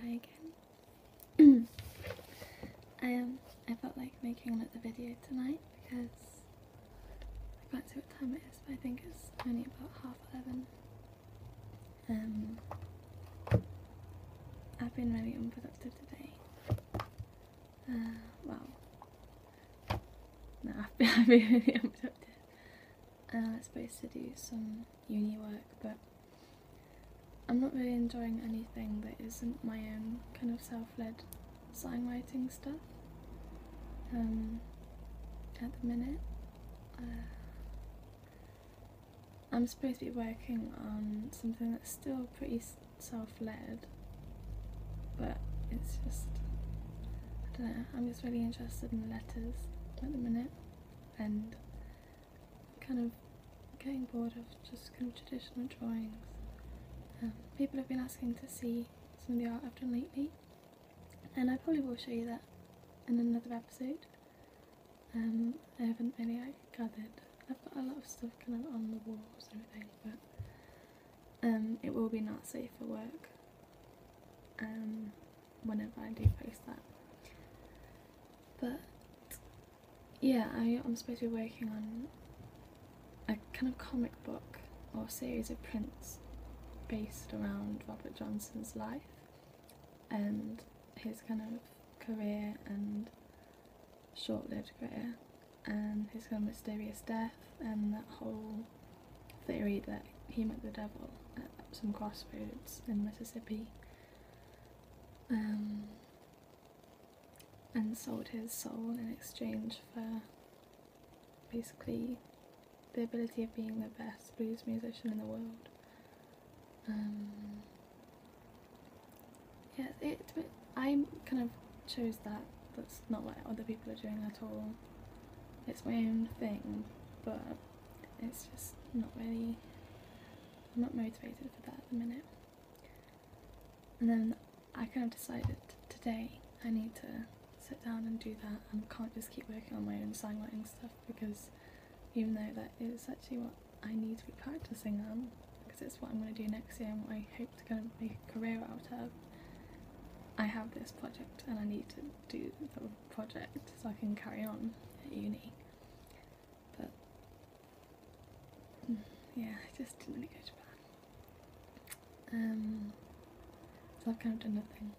Hi again. I am. Um, I felt like making another video tonight because I can't see what time it is, but I think it's only about half eleven. Um I've been really unproductive today. Uh well no, I've I've been really unproductive. I'm uh, supposed to do some uni work, but I'm not really enjoying anything that isn't my own kind of self-led signwriting stuff um, at the minute. Uh, I'm supposed to be working on something that's still pretty self-led, but it's just, I don't know, I'm just really interested in letters at the minute and kind of getting bored of just kind of traditional drawings. Um, people have been asking to see some of the art I've done lately, and I probably will show you that in another episode. Um, I haven't really gathered. I've got a lot of stuff kind of on the walls and everything, but um, it will be not safe for work. Um, whenever I do post that. But yeah, I, am supposed to be working on a kind of comic book or series of prints based around Robert Johnson's life and his kind of career and short-lived career and his kind of mysterious death and that whole theory that he met the devil at some crossroads in Mississippi um, and sold his soul in exchange for basically the ability of being the best blues musician in the world. Um, yeah, it, I kind of chose that. That's not what other people are doing at all. It's my own thing, but it's just not really I'm not motivated for that at the minute. And then I kind of decided today I need to sit down and do that and can't just keep working on my own songwriting stuff because even though that is actually what I need to be practicing on because it's what I'm going to do next year and what I hope to kind of make a career out of, I have this project and I need to do project so I can carry on at uni. But mm, yeah, I just didn't really go to bed. Um, so I've kind of done nothing.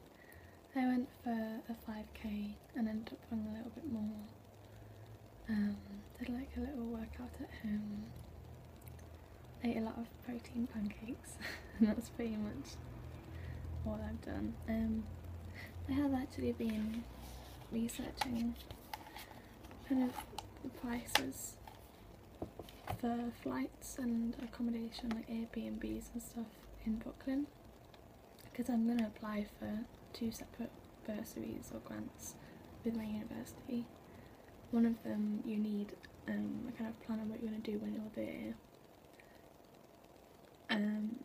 I went for a 5k and ended up running a little bit more. Um, did like a little workout at home. Ate a lot of protein pancakes that's pretty much all I've done um, I have actually been researching kind of the prices for flights and accommodation like Airbnbs and stuff in Brooklyn because I'm going to apply for two separate bursaries or grants with my university. One of them you need um, a kind of plan on what you are going to do when you're there um,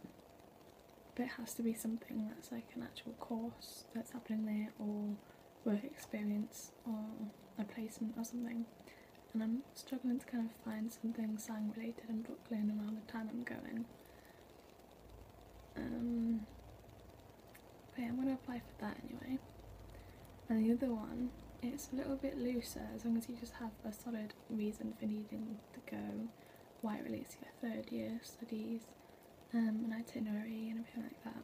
but it has to be something that's like an actual course that's happening there or work experience or a placement or something and I'm struggling to kind of find something slang related in Brooklyn around the time I'm going. Okay, um, I'm going to apply for that anyway. And the other one, it's a little bit looser as long as you just have a solid reason for needing to go, why release your third year studies, um, an itinerary and everything like that,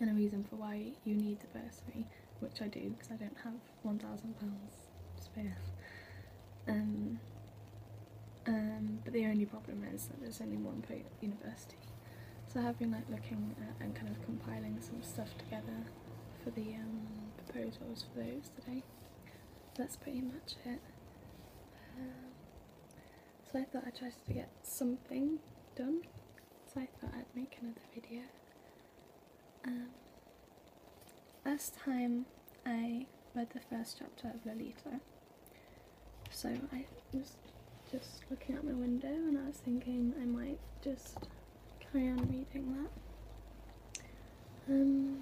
and a reason for why you need the bursary, which I do because I don't have £1,000 spare. Um, um, but the only problem is that there's only one per university. So I have been like looking and kind of compiling some stuff together for the um, proposals for those today. That's pretty much it. Um, so I thought I'd try to get something done. So I thought I'd make another video. Um, last time I read the first chapter of Lolita. So I was just looking out my window and I was thinking I might just carry on reading that. Um,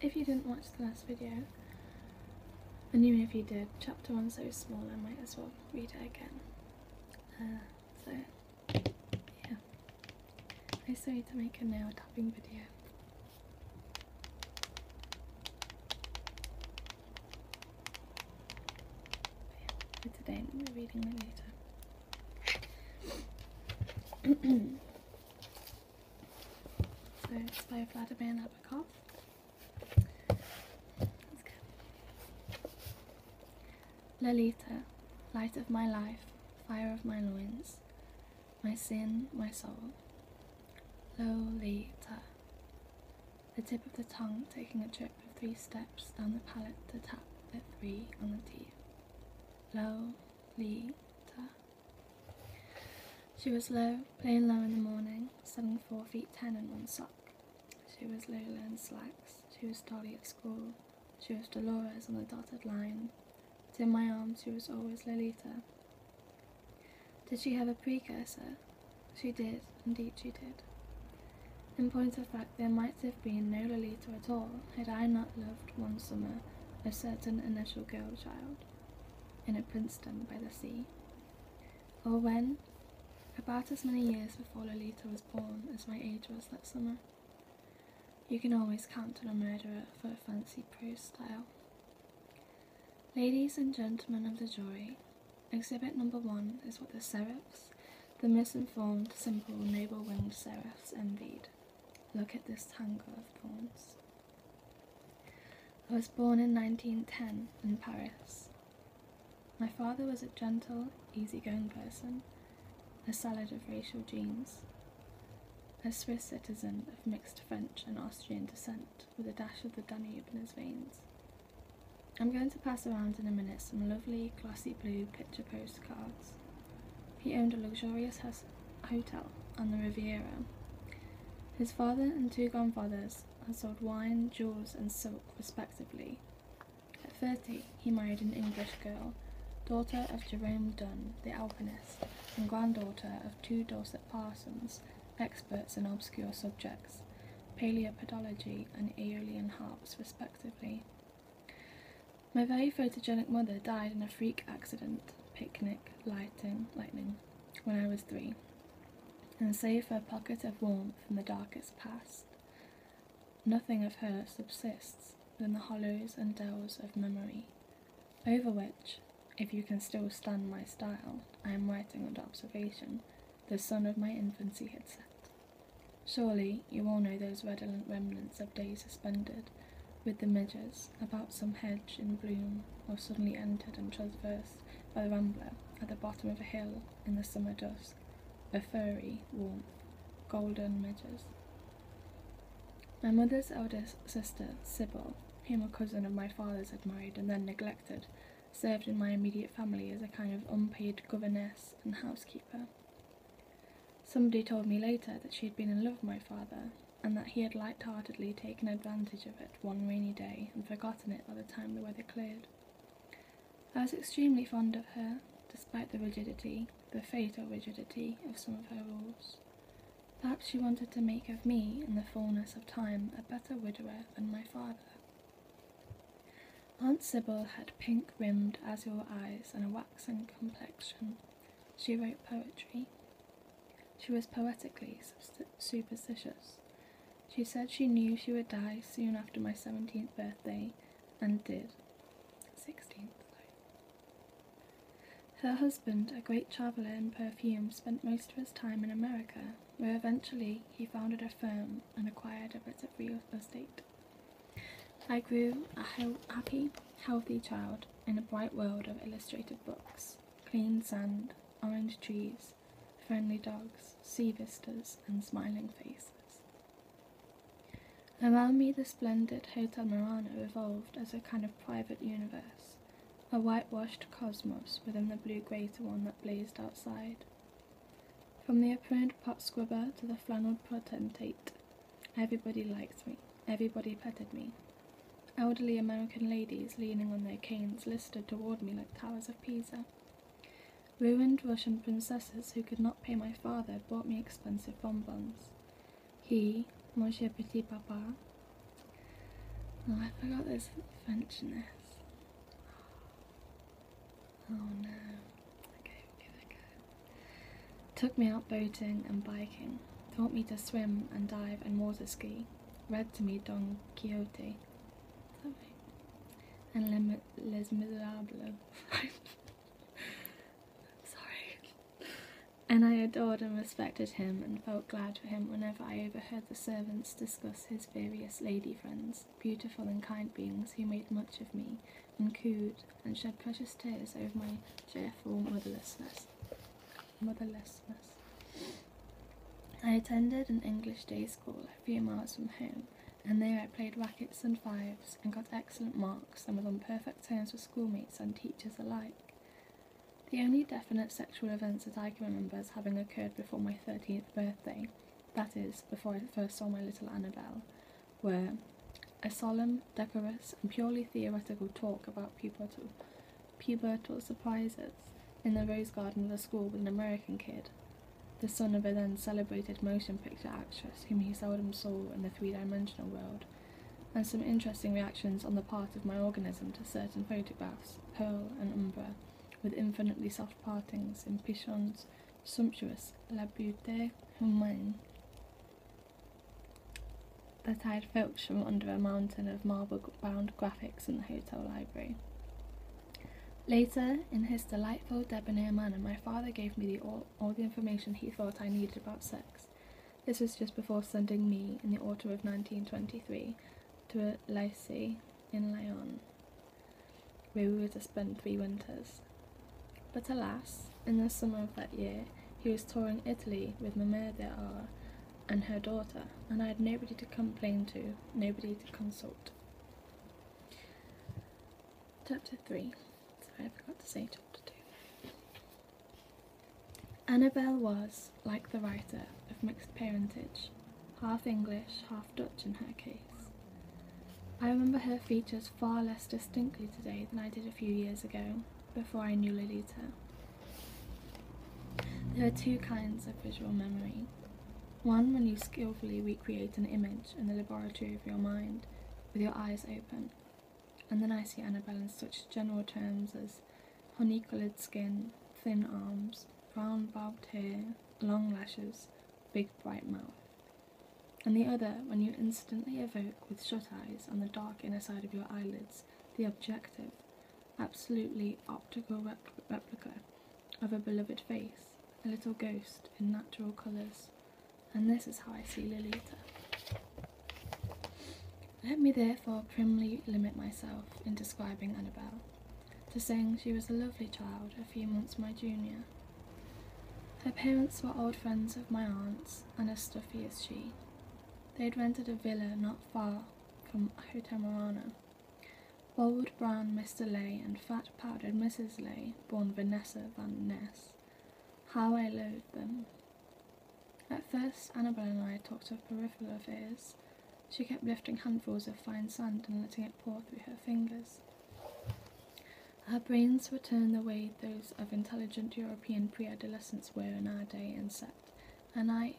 if you didn't watch the last video, and even if you did, chapter one so small I might as well read it again. Uh, so, yeah. I still need to make a nail tapping video. today, we're reading later. so it's by Vladimir Nabokov. Lolita, light of my life, fire of my loins, my sin, my soul. Lolita, the tip of the tongue taking a trip of three steps down the palate to tap the three on the teeth. Lolita. She was low, playing low in the morning, Seven four feet ten and one sock. She was Lola in slacks. She was Dolly at school. She was Dolores on the dotted line. But in my arms, she was always Lolita. Did she have a precursor? She did, indeed she did. In point of fact, there might have been no Lolita at all had I not loved one summer a certain initial girl child in a Princeton by the sea. Or when, about as many years before Lolita was born as my age was that summer, you can always count on a murderer for a fancy prose style. Ladies and gentlemen of the jury, exhibit number one is what the serifs the misinformed, simple, noble-winged seraphs envied. Look at this tangle of thorns. I was born in 1910 in Paris. My father was a gentle, easy-going person, a salad of racial genes, a Swiss citizen of mixed French and Austrian descent with a dash of the Danube in his veins. I'm going to pass around in a minute some lovely glossy blue picture postcards Cards. He owned a luxurious hotel on the Riviera. His father and two grandfathers had sold wine, jewels, and silk, respectively. At 30, he married an English girl, daughter of Jerome Dunn, the alpinist, and granddaughter of two Dorset parsons, experts in obscure subjects, paleopodology and aeolian harps, respectively. My very photogenic mother died in a freak accident, picnic, lighting, lightning, when I was three, and save for a pocket of warmth in the darkest past, nothing of her subsists within the hollows and dells of memory, over which, if you can still stand my style, I am writing under observation, the sun of my infancy had set. Surely you all know those redolent remnants of days suspended, with the midges, about some hedge in bloom, or suddenly entered and traversed by the rambler at the bottom of a hill in the summer dusk, the furry warmth, golden midges. My mother's eldest sister, Sybil, whom a cousin of my father's had married and then neglected, served in my immediate family as a kind of unpaid governess and housekeeper. Somebody told me later that she had been in love with my father, and that he had light-heartedly taken advantage of it one rainy day and forgotten it by the time the weather cleared. I was extremely fond of her, despite the rigidity, the fatal rigidity, of some of her rules. Perhaps she wanted to make of me, in the fullness of time, a better widower than my father. Aunt Sybil had pink rimmed azure eyes and a waxen complexion. She wrote poetry. She was poetically superstitious. She said she knew she would die soon after my 17th birthday and did. 16th, Her husband, a great traveller in perfume, spent most of his time in America, where eventually he founded a firm and acquired a bit of real estate. I grew a happy, healthy child in a bright world of illustrated books, clean sand, orange trees, friendly dogs, sea vistas, and smiling faces. Around me, the splendid Hotel Murano evolved as a kind of private universe, a whitewashed cosmos within the blue greater one that blazed outside, from the apparent pot squibber to the flannel potentate, everybody liked me, everybody petted me. Elderly American ladies leaning on their canes listed toward me like towers of Pisa. Ruined Russian princesses who could not pay my father bought me expensive bonbons. He, Monsieur Petit Papa. Oh, I forgot this Frenchness. Oh, Took me out boating and biking. Taught me to swim and dive and water ski. Read to me Don Quixote. And Les, Les Miserables. Sorry. And I adored and respected him and felt glad for him whenever I overheard the servants discuss his various lady friends, beautiful and kind beings who made much of me and cooed and shed precious tears over my cheerful motherlessness. Motherlessness. I attended an English day school a few miles from home, and there I played rackets and fives and got excellent marks and was on perfect terms with schoolmates and teachers alike. The only definite sexual events that I can remember as having occurred before my 13th birthday that is, before I first saw my little Annabelle, were a solemn, decorous, and purely theoretical talk about pubertal, pubertal surprises in the rose garden of the school with an American kid, the son of a then celebrated motion picture actress whom he seldom saw in the three dimensional world, and some interesting reactions on the part of my organism to certain photographs, Pearl and Umbra, with infinitely soft partings in pichons, Sumptuous, La Beauté Humaine, that I had filched from under a mountain of marble-bound graphics in the hotel library. Later, in his delightful, debonair manner, my father gave me all the information he thought I needed about sex. This was just before sending me, in the autumn of 1923, to a lycée in Lyon, where we were to spend three winters. But alas, in the summer of that year, he was touring Italy with Mamere de R and her daughter, and I had nobody to complain to, nobody to consult. Chapter 3. Sorry, I forgot to say chapter 2. Annabel was, like the writer, of mixed parentage, half English, half Dutch in her case. I remember her features far less distinctly today than I did a few years ago, before I knew Lolita. There are two kinds of visual memory. One when you skillfully recreate an image in the laboratory of your mind, with your eyes open. And then I see Annabelle in such general terms as honey coloured skin, thin arms, brown bobbed hair, long lashes, big bright mouth and the other when you instantly evoke with shut eyes on the dark inner side of your eyelids the objective, absolutely optical replica of a beloved face, a little ghost in natural colours. And this is how I see Lilitha. Let me therefore primly limit myself in describing Annabel to sing, she was a lovely child, a few months my junior. Her parents were old friends of my aunt's, and as stuffy as she. They had rented a villa not far from Hotel Hotamarana. Old brown Mr. Lay and fat powdered Mrs. Lay, born Vanessa Van Ness. How I loathed them. At first, Annabel and I talked of peripheral affairs. She kept lifting handfuls of fine sand and letting it pour through her fingers. Our brains were turned the way those of intelligent European preadolescents were in our day and set, and I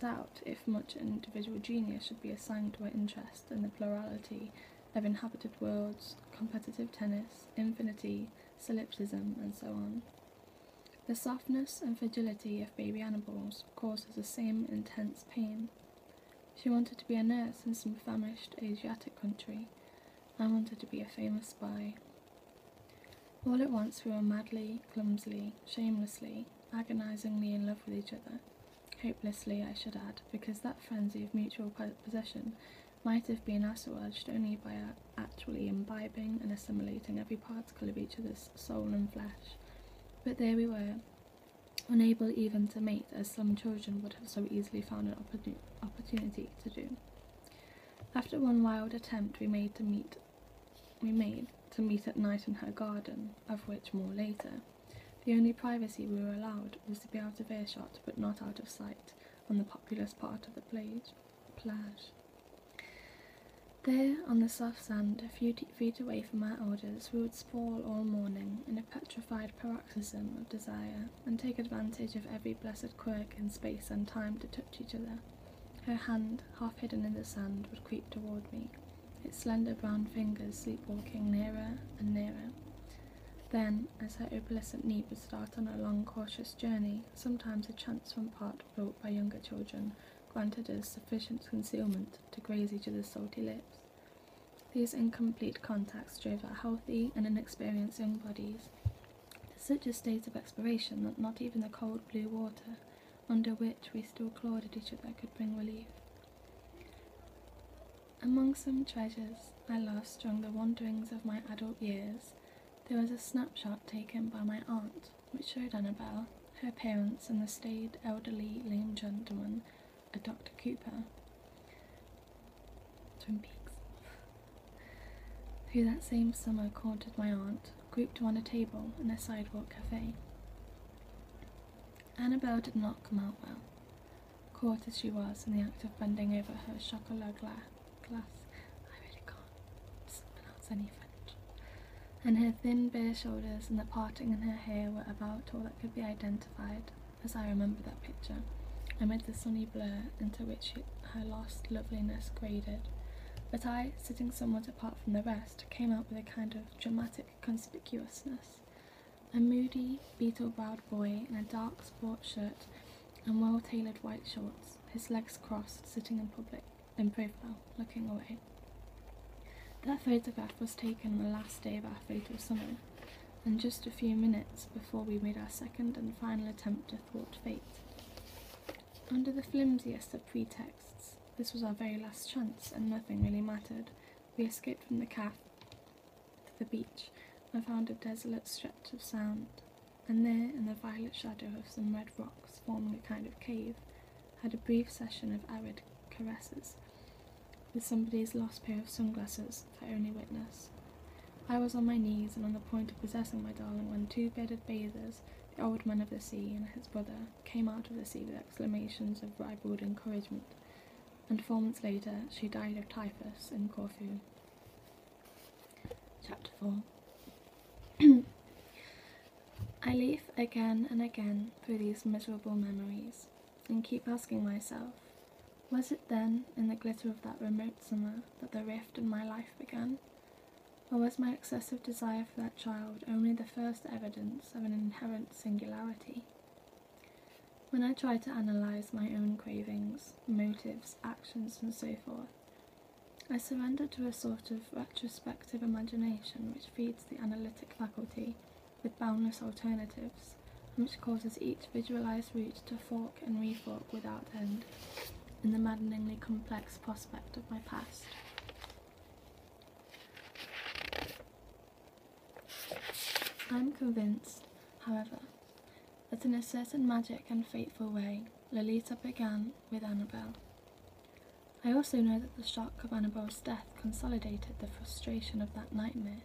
doubt if much individual genius should be assigned to our interest in the plurality of inhabited worlds, competitive tennis, infinity, solipsism, and so on. The softness and fragility of baby animals causes the same intense pain. She wanted to be a nurse in some famished Asiatic country. I wanted to be a famous spy. All at once, we were madly, clumsily, shamelessly, agonizingly in love with each other. Hopelessly, I should add, because that frenzy of mutual possession might have been assuaged only by our actually imbibing and assimilating every particle of each other's soul and flesh. But there we were, unable even to meet, as some children would have so easily found an opportunity to do. After one wild attempt we made to meet we made to meet at night in her garden, of which more later. The only privacy we were allowed was to be out of earshot but not out of sight on the populous part of the plage plage. There, on the soft sand, a few feet away from our orders, we would sprawl all morning in a petrified paroxysm of desire and take advantage of every blessed quirk in space and time to touch each other. Her hand, half hidden in the sand, would creep toward me, its slender brown fingers sleepwalking nearer and nearer. Then, as her opalescent knee would start on a long, cautious journey, sometimes a chance from part brought by younger children granted us sufficient concealment to graze each other's salty lips. These incomplete contacts drove our healthy and inexperienced young bodies to such a state of expiration that not even the cold blue water under which we still clawed each other could bring relief. Among some treasures I lost during the wanderings of my adult years, there was a snapshot taken by my aunt which showed Annabel, her parents, and the staid elderly lame gentleman a Dr. Cooper, Twin Peaks, who that same summer courted my aunt, grouped on a table in a sidewalk cafe. Annabel did not come out well, caught as she was in the act of bending over her chocolat glass. I really can't pronounce any French. And her thin bare shoulders and the parting in her hair were about all that could be identified as I remember that picture, amid the sunny blur into which her last loveliness graded. But I, sitting somewhat apart from the rest, came out with a kind of dramatic conspicuousness. A moody, beetle browed boy in a dark sport shirt and well tailored white shorts, his legs crossed, sitting in public, in profile, looking away. That photograph was taken on the last day of our fatal summer, and just a few minutes before we made our second and final attempt to thwart fate. Under the flimsiest of pretexts, this was our very last chance, and nothing really mattered. We escaped from the calf to the beach and found a desolate stretch of sand, and there, in the violet shadow of some red rocks forming a kind of cave, had a brief session of arid caresses with somebody's lost pair of sunglasses, I only witness. I was on my knees and on the point of possessing my darling when two bearded bathers, the old man of the sea and his brother, came out of the sea with exclamations of ribald encouragement, and four months later she died of typhus in Corfu. Chapter 4 I leaf again and again through these miserable memories, and keep asking myself, was it then in the glitter of that remote summer that the rift in my life began? Or was my excessive desire for that child only the first evidence of an inherent singularity? When I try to analyse my own cravings, motives, actions, and so forth, I surrender to a sort of retrospective imagination which feeds the analytic faculty with boundless alternatives, and which causes each visualized route to fork and refork without end in the maddeningly complex prospect of my past. I'm convinced, however, that in a certain magic and fateful way, Lolita began with Annabel. I also know that the shock of Annabel's death consolidated the frustration of that nightmare,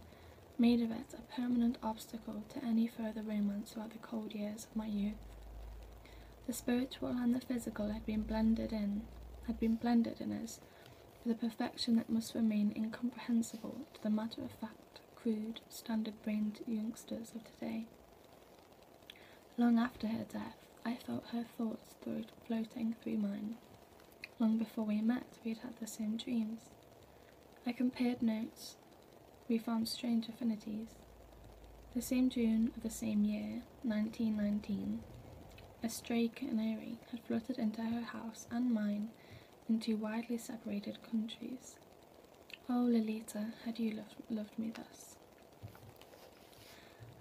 made of it a permanent obstacle to any further romance throughout the cold years of my youth. The spiritual and the physical had been blended in, had been blended in us, with a perfection that must remain incomprehensible to the matter-of-fact, crude, standard-brained youngsters of today. Long after her death, I felt her thoughts floating through mine. Long before we met, we had had the same dreams. I compared notes. We found strange affinities. The same June of the same year, 1919, a stray canary had fluttered into her house and mine into widely separated countries. Oh, Lolita, had you loved me thus?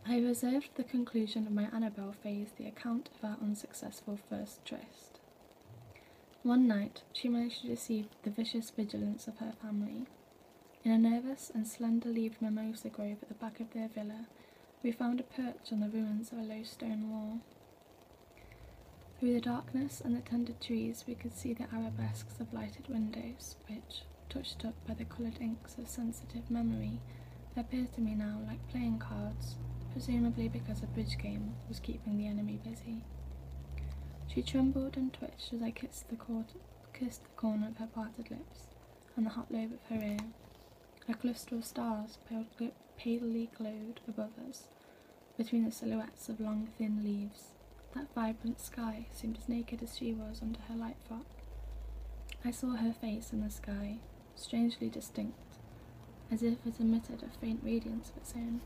I reserved the conclusion of my Annabel phase the account of our unsuccessful first tryst. One night, she managed to deceive the vicious vigilance of her family. In a nervous and slender leaved mimosa grove at the back of their villa, we found a perch on the ruins of a low stone wall. Through the darkness and the tender trees, we could see the arabesques of lighted windows, which, touched up by the coloured ink of sensitive memory appear to me now like playing cards, presumably because a bridge game was keeping the enemy busy. She trembled and twitched as I kissed the, cor the corner of her parted lips and the hot lobe of her ear. A cluster of stars palely glowed above us, between the silhouettes of long thin leaves. That vibrant sky seemed as naked as she was under her light frock. I saw her face in the sky, strangely distinct, as if it emitted a faint radiance of its own.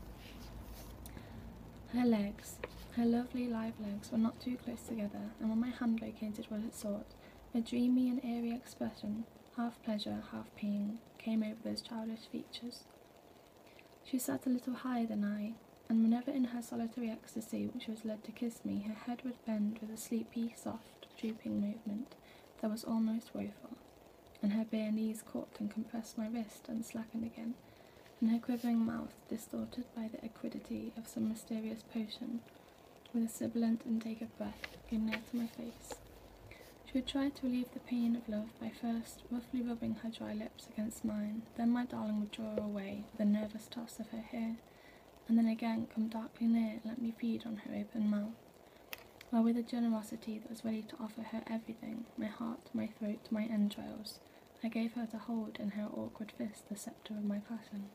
Her legs, her lovely live legs, were not too close together, and when my hand located what it sought, a dreamy and airy expression, half pleasure, half pain, came over those childish features. She sat a little higher than I, and whenever in her solitary ecstasy she was led to kiss me, her head would bend with a sleepy, soft, drooping movement that was almost woeful, and her bare knees caught and compressed my wrist and slackened again, and her quivering mouth distorted by the acridity of some mysterious potion, with a sibilant intake of breath, came near to my face. She would try to relieve the pain of love by first roughly rubbing her dry lips against mine, then my darling would draw away with a nervous toss of her hair, and then again come darkly near and let me feed on her open mouth. While with a generosity that was ready to offer her everything, my heart, my throat, my entrails, I gave her to hold in her awkward fist the sceptre of my passion.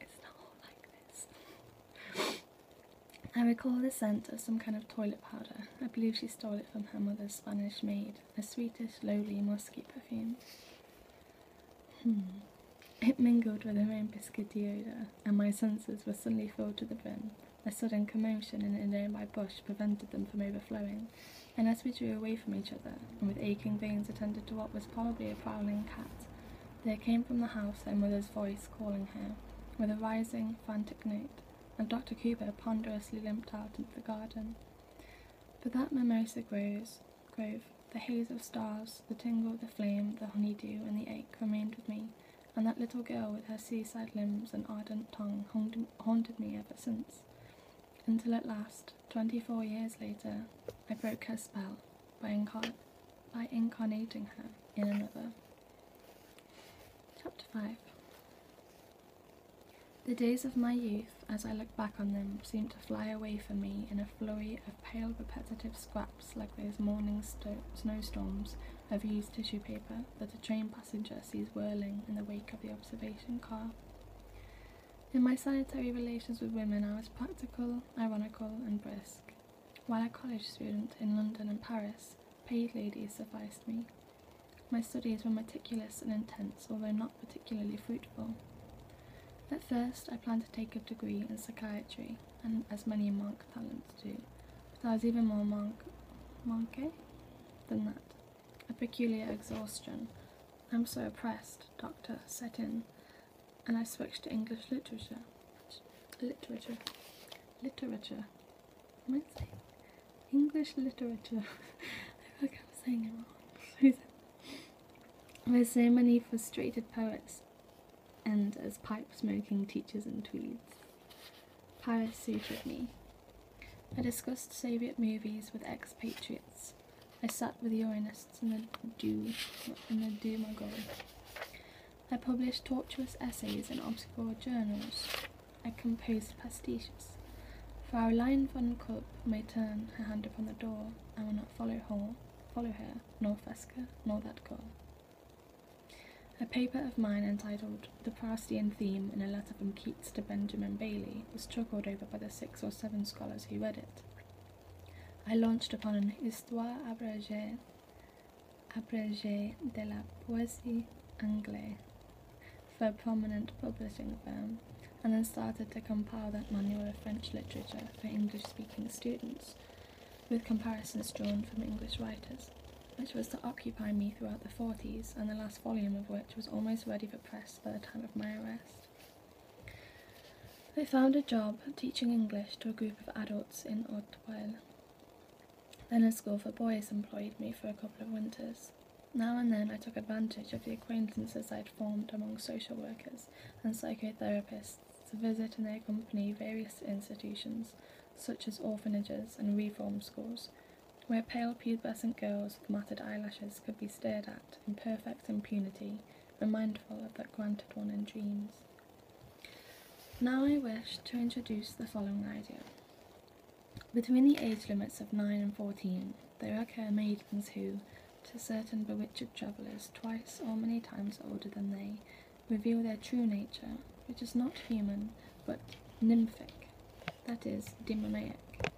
It's not like this. I recall the scent of some kind of toilet powder. I believe she stole it from her mother's Spanish maid, a sweetish, lowly, musky perfume. Hmm. It mingled with the rain biscuity odour, and my senses were suddenly filled to the brim. A sudden commotion in the nearby bush prevented them from overflowing, and as we drew away from each other, and with aching veins attended to what was probably a prowling cat, there came from the house her mother's voice calling her, with a rising, frantic note, and Dr. Cooper ponderously limped out into the garden. For that my mimosa grows, the haze of stars, the tingle of the flame, the honey dew, and the ache remained with me, and that little girl with her seaside limbs and ardent tongue haunted me ever since. Until at last, twenty four years later, I broke her spell by, incarnating her in another. Chapter 5 The days of my youth, as I looked back on them seemed to fly away from me in a flurry of pale repetitive scraps like those morning snowstorms of used tissue paper that a train passenger sees whirling in the wake of the observation car. In my sanitary relations with women, I was practical, ironical, and brisk, while a college student in London and Paris, paid ladies sufficed me. My studies were meticulous and intense, although not particularly fruitful. At first, I planned to take a degree in psychiatry, and as many monk talents do, but I was even more monk, monke than that. A peculiar exhaustion. I'm so oppressed, doctor, set in, and I switched to English literature. Literature. Literature. What am I saying? English literature. I feel like I'm saying it wrong where so many frustrated poets and as pipe smoking teachers in tweeds. Paris suited me. I discussed Soviet movies with expatriates. I sat with Uranists in the do in the do Dumagog. I published tortuous essays in obscure journals. I composed pastiches. Fraulein von Kupp may turn her hand upon the door. I will not follow Hall follow her, nor Fesca, nor that girl. A paper of mine entitled The Proustian Theme in a Letter from Keats to Benjamin Bailey was chuckled over by the six or seven scholars who read it. I launched upon an Histoire abrégée, abrégée de la poésie anglaise for a prominent publishing firm and then started to compile that manual of French literature for English speaking students, with comparisons drawn from English writers, which was to occupy me throughout the 40s, and the last volume of which was almost ready for press by the time of my arrest. I found a job teaching English to a group of adults in haute Then a school for boys employed me for a couple of winters. Now and then I took advantage of the acquaintances I had formed among social workers and psychotherapists to visit and accompany various institutions, such as orphanages and reform schools, where pale pubescent girls with matted eyelashes could be stared at in perfect impunity and mindful of that granted one in dreams. Now I wish to introduce the following idea. Between the age limits of 9 and 14, there are care maidens who, to certain bewitched travellers twice or many times older than they, reveal their true nature, which is not human, but nymphic, that is, demoniac.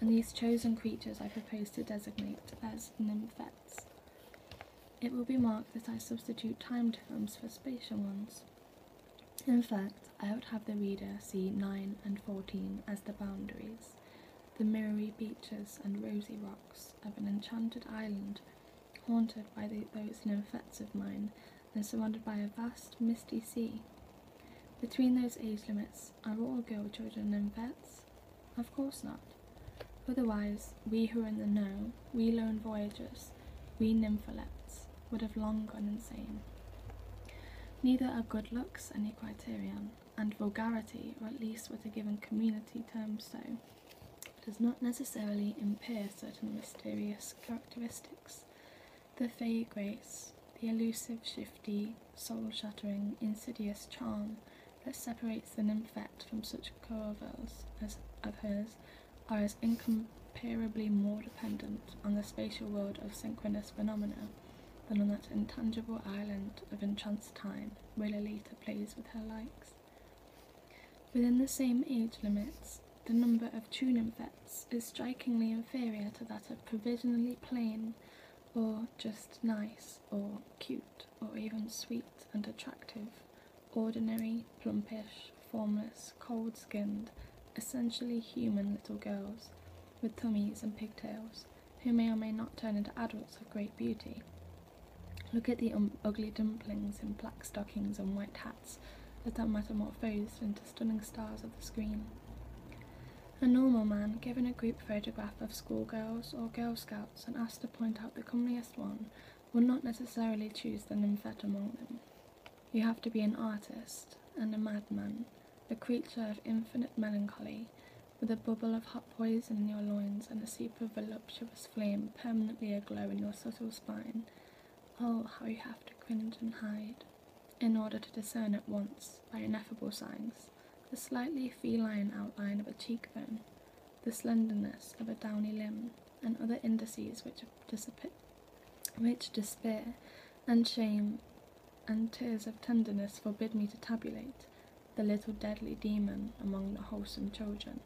And these chosen creatures I propose to designate as nymphets. It will be marked that I substitute time terms for spatial ones. In fact, I would have the reader see 9 and 14 as the boundaries, the miry beaches and rosy rocks of an enchanted island haunted by those Ocean effects of mine and surrounded by a vast, misty sea. Between those age limits, are all girl children and vets? Of course not. Otherwise, we who are in the know, we lone voyagers, we nympholepts, would have long gone insane. Neither are good looks any criterion, and vulgarity, or at least what a given community terms so, does not necessarily impair certain mysterious characteristics. The fairy grace, the elusive, shifty, soul shattering, insidious charm that separates the nymphette from such coevals as of hers, are as incomparably more dependent on the spatial world of synchronous phenomena than on that intangible island of entranced time where Lolita plays with her likes. Within the same age limits, the number of true nymphets is strikingly inferior to that of provisionally plain or just nice or cute or even sweet and attractive, ordinary, plumpish, formless, cold skinned, essentially human little girls with tummies and pigtails who may or may not turn into adults of great beauty. Look at the um, ugly dumplings in black stockings and white hats that they metamorphosed into stunning stars of the screen. A normal man given a group photograph of schoolgirls or Girl Scouts and asked to point out the comeliest one will not necessarily choose the nymphette among them. You have to be an artist and a madman, a creature of infinite melancholy, with a bubble of hot poison in your loins and a super voluptuous flame permanently aglow in your subtle spine. Oh, how you have to cringe and hide, in order to discern at once, by ineffable signs, the slightly feline outline of a cheekbone, the slenderness of a downy limb, and other indices which, which despair and shame and tears of tenderness forbid me to tabulate the little deadly demon among the wholesome children.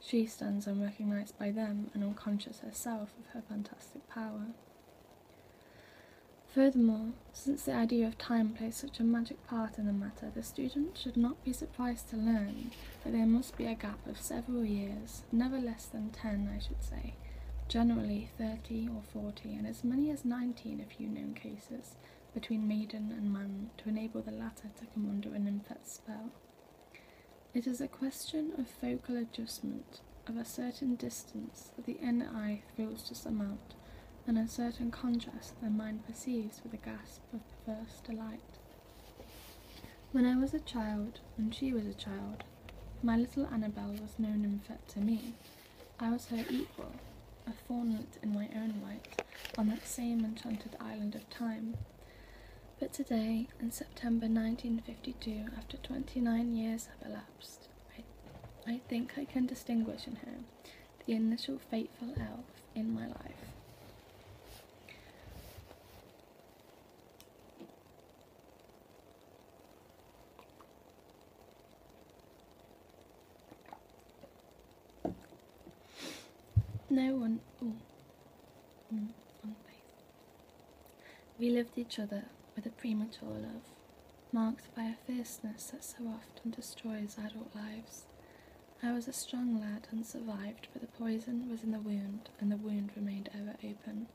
She stands unrecognized by them and unconscious herself of her fantastic power. Furthermore, since the idea of time plays such a magic part in the matter, the student should not be surprised to learn that there must be a gap of several years, never less than 10, I should say, generally 30 or 40, and as many as nineteen in a few known cases, between maiden and man to enable the latter to come under an infect spell. It is a question of focal adjustment, of a certain distance that the inner eye thrills to surmount, and a certain contrast that the mind perceives with a gasp of perverse delight. When I was a child, when she was a child, my little Annabel was no nymphet to me, I was her equal, a thornlet in my own right, on that same enchanted island of time. But today, in September 1952, after 29 years have elapsed, I, I think I can distinguish in her the initial fateful elf in my life. No one. Oh, mm, we loved each other with a premature love, marked by a fierceness that so often destroys adult lives. I was a strong lad and survived, but the poison was in the wound, and the wound remained ever open.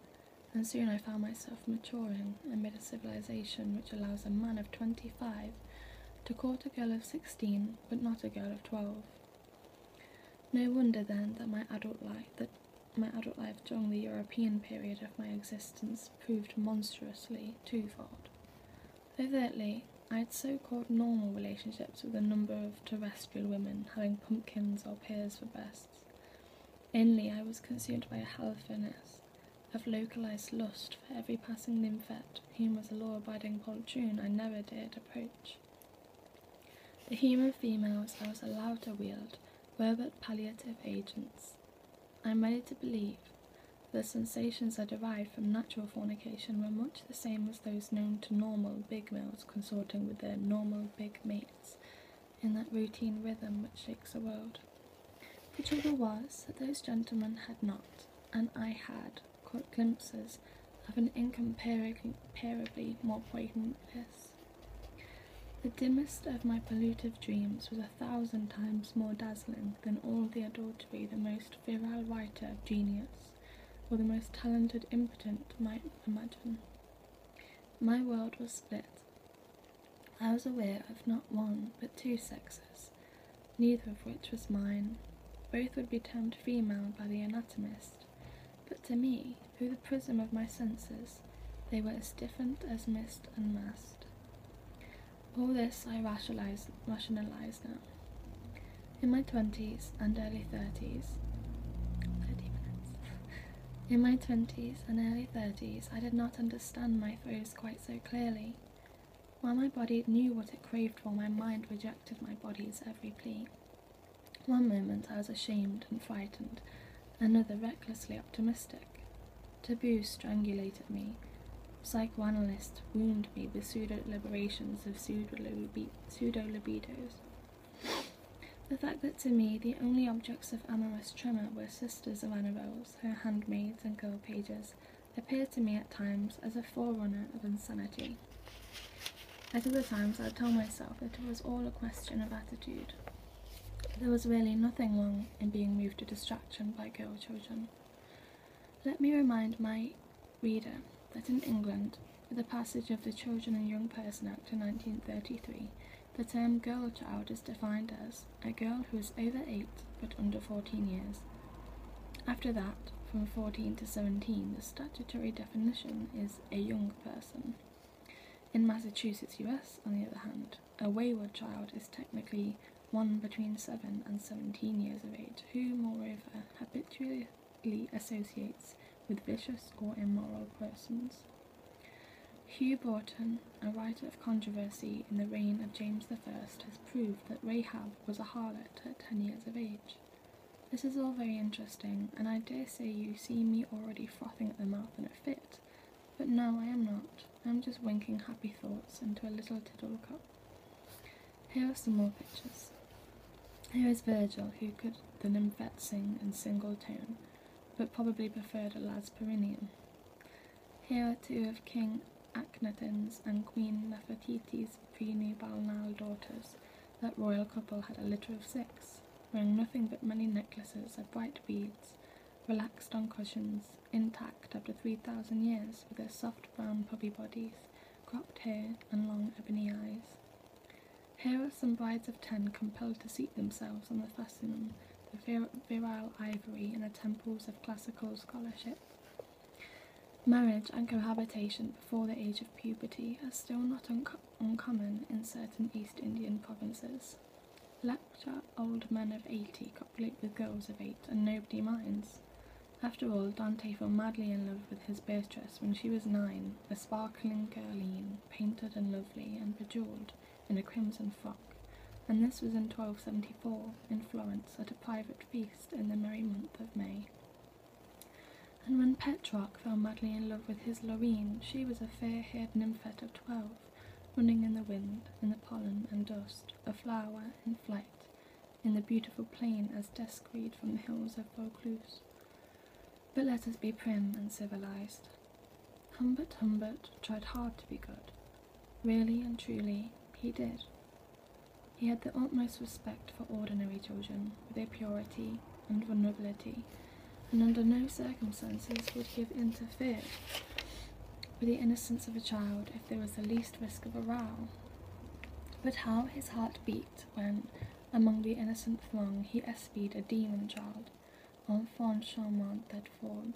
And soon I found myself maturing amid a civilization which allows a man of twenty five to court a girl of sixteen, but not a girl of twelve. No wonder then that my adult life that my adult life during the European period of my existence proved monstrously twofold. Overtly, I had so called normal relationships with a number of terrestrial women having pumpkins or pears for breasts. Inly, I was consumed by a hell furnace, of localized lust for every passing nymphette whom as a law-abiding poltroon I never dared approach. The human females I was allowed to wield were but palliative agents. I am ready to believe that the sensations I derived from natural fornication were much the same as those known to normal big males consorting with their normal big mates in that routine rhythm which shakes the world. The trouble was that those gentlemen had not, and I had, caught glimpses of an incomparably more poignant bliss. The dimmest of my pollutive dreams was a thousand times more dazzling than all the adultery the most virile writer of genius or the most talented impotent might imagine. My world was split, I was aware of not one but two sexes, neither of which was mine. Both would be termed female by the anatomist, but to me, through the prism of my senses, they were as different as mist and mist. All this I rationalized, now. In my 20s and early 30s, In my 20s and early 30s, I did not understand my quite so clearly. While my body knew what it craved for, my mind rejected my body's every plea. One moment I was ashamed and frightened, another recklessly optimistic. Taboo strangulated me. Psychoanalysts wounded me with pseudo liberations of pseudo libidos. The fact that to me the only objects of amorous tremor were sisters of Annabel's her handmaids and girl pages, appear to me at times as a forerunner of insanity. At other times, I tell myself that it was all a question of attitude. There was really nothing wrong in being moved to distraction by girl children. Let me remind my reader that in England, with the passage of the Children and Young Person Act in 1933, the term girl child is defined as a girl who is over 8 but under 14 years. After that, from 14 to 17, the statutory definition is a young person. In Massachusetts, US, on the other hand, a wayward child is technically one between 7 and 17 years of age, who, moreover, habitually associates with vicious or immoral persons. Hugh Broughton, a writer of controversy in the reign of James I, has proved that Rahab was a harlot at ten years of age. This is all very interesting, and I dare say you see me already frothing at the mouth in a fit, but no, I am not. I am just winking happy thoughts into a little tittle cup. Here are some more pictures. Here is Virgil, who could the nymphette sing in single tone, but probably preferred a lads perineum. Here are two of King Akhenaten's and Queen Nefertiti's pre-Nubal-Nile daughters. That royal couple had a litter of six, wearing nothing but many necklaces of bright beads, relaxed on cushions, intact after 3,000 years with their soft brown puppy bodies, cropped hair and long ebony eyes. Here are some brides of ten compelled to seat themselves on the fascinum the virile ivory in the temples of classical scholarship. Marriage and cohabitation before the age of puberty are still not uncommon in certain East Indian provinces. Lecture old men of 80 copulate with girls of 8 and nobody minds. After all, Dante fell madly in love with his Beatrice when she was nine, a sparkling girline, painted and lovely and bejewelled, in a crimson frock, and this was in 1274 in Florence at a private feast in the merry month of May. And when Petrarch fell madly in love with his Lorraine, she was a fair haired nymphet of twelve, running in the wind, in the pollen and dust, a flower in flight, in the beautiful plain as deskweed from the hills of Vaucluse. But let us be prim and civilized. Humbert Humbert tried hard to be good. Really and truly, he did. He had the utmost respect for ordinary children, with their purity and vulnerability, and under no circumstances would he have interfered with the innocence of a child if there was the least risk of a row. But how his heart beat when, among the innocent throng, he espied a demon child, enfant charmant that form.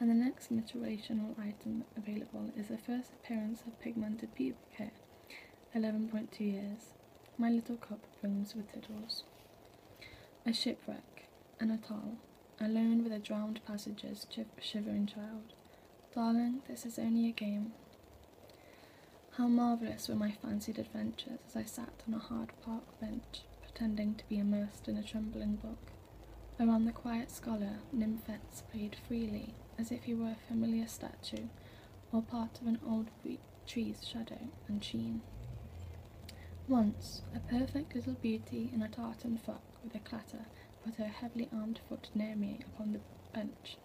and the next literational item available is the first appearance of pigmented pubic hair, 11.2 years. My little cup brims with tittles. A shipwreck, and a atoll, alone with a drowned passenger's shivering child. Darling, this is only a game. How marvellous were my fancied adventures as I sat on a hard park bench, pretending to be immersed in a trembling book. Around the quiet scholar nymphets played freely, as if he were a familiar statue or part of an old tree's shadow and sheen. Once, a perfect little beauty in a tartan frock with a clatter put her heavily armed foot near me upon the bench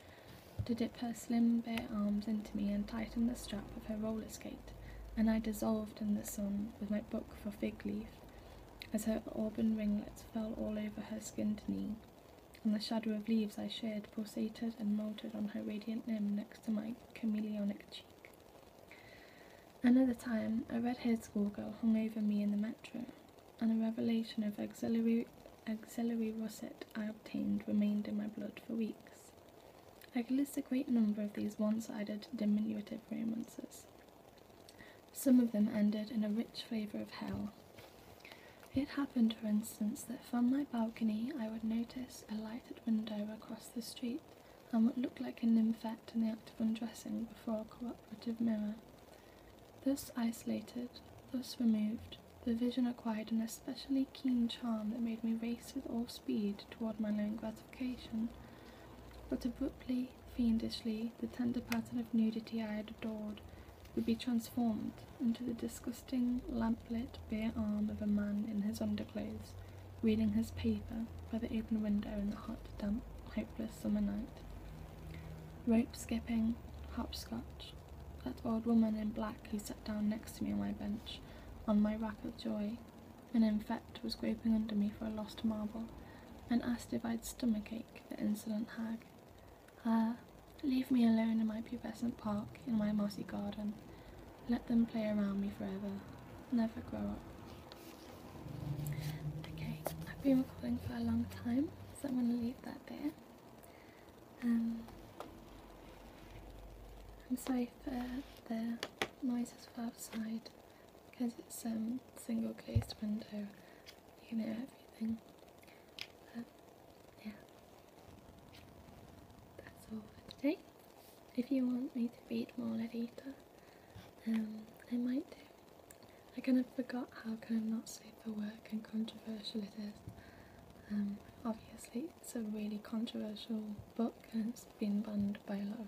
to dip her slim bare arms into me and tighten the strap of her roller skate, and I dissolved in the sun with my book for fig leaf as her auburn ringlets fell all over her skinned knee, and the shadow of leaves I shed pulsated and melted on her radiant limb next to my chameleonic cheek. Another time, a red-haired schoolgirl hung over me in the metro, and a revelation of auxiliary, auxiliary I obtained remained in my blood for weeks. I could list a great number of these one-sided diminutive romances, some of them ended in a rich flavour of hell. It happened, for instance, that from my balcony I would notice a lighted window across the street and what looked like a nymphette in the act of undressing before a cooperative mirror. Thus isolated, thus removed, the vision acquired an especially keen charm that made me race with all speed toward my lone but abruptly, fiendishly, the tender pattern of nudity I had adored would be transformed into the disgusting, lamp-lit, bare arm of a man in his underclothes, reading his paper by the open window in the hot, damp, hopeless summer night. Rope skipping, hopscotch, that old woman in black who sat down next to me on my bench, on my rack of joy, and in fact was groping under me for a lost marble, and asked if I'd stomach ache. the insolent hag. Ah, leave me alone in my pubescent park, in my mossy garden. Let them play around me forever. Never grow up. Okay, I've been recording for a long time, so I'm going to leave that there. Um, I'm sorry for the noises from outside because it's um single glazed window you can hear everything but yeah that's all for today if you want me to read more Lolita um I might I kind of forgot how kind of not safe for work and controversial it is um obviously it's a really controversial book and it's been banned by a lot of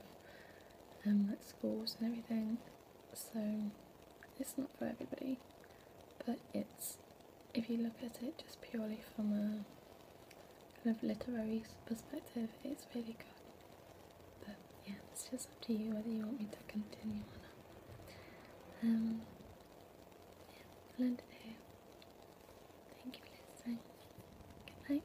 um, schools and everything so it's not for everybody but it's if you look at it just purely from a kind of literary perspective it's really good but yeah it's just up to you whether you want me to continue or not um yeah I'll end it here thank you for listening good night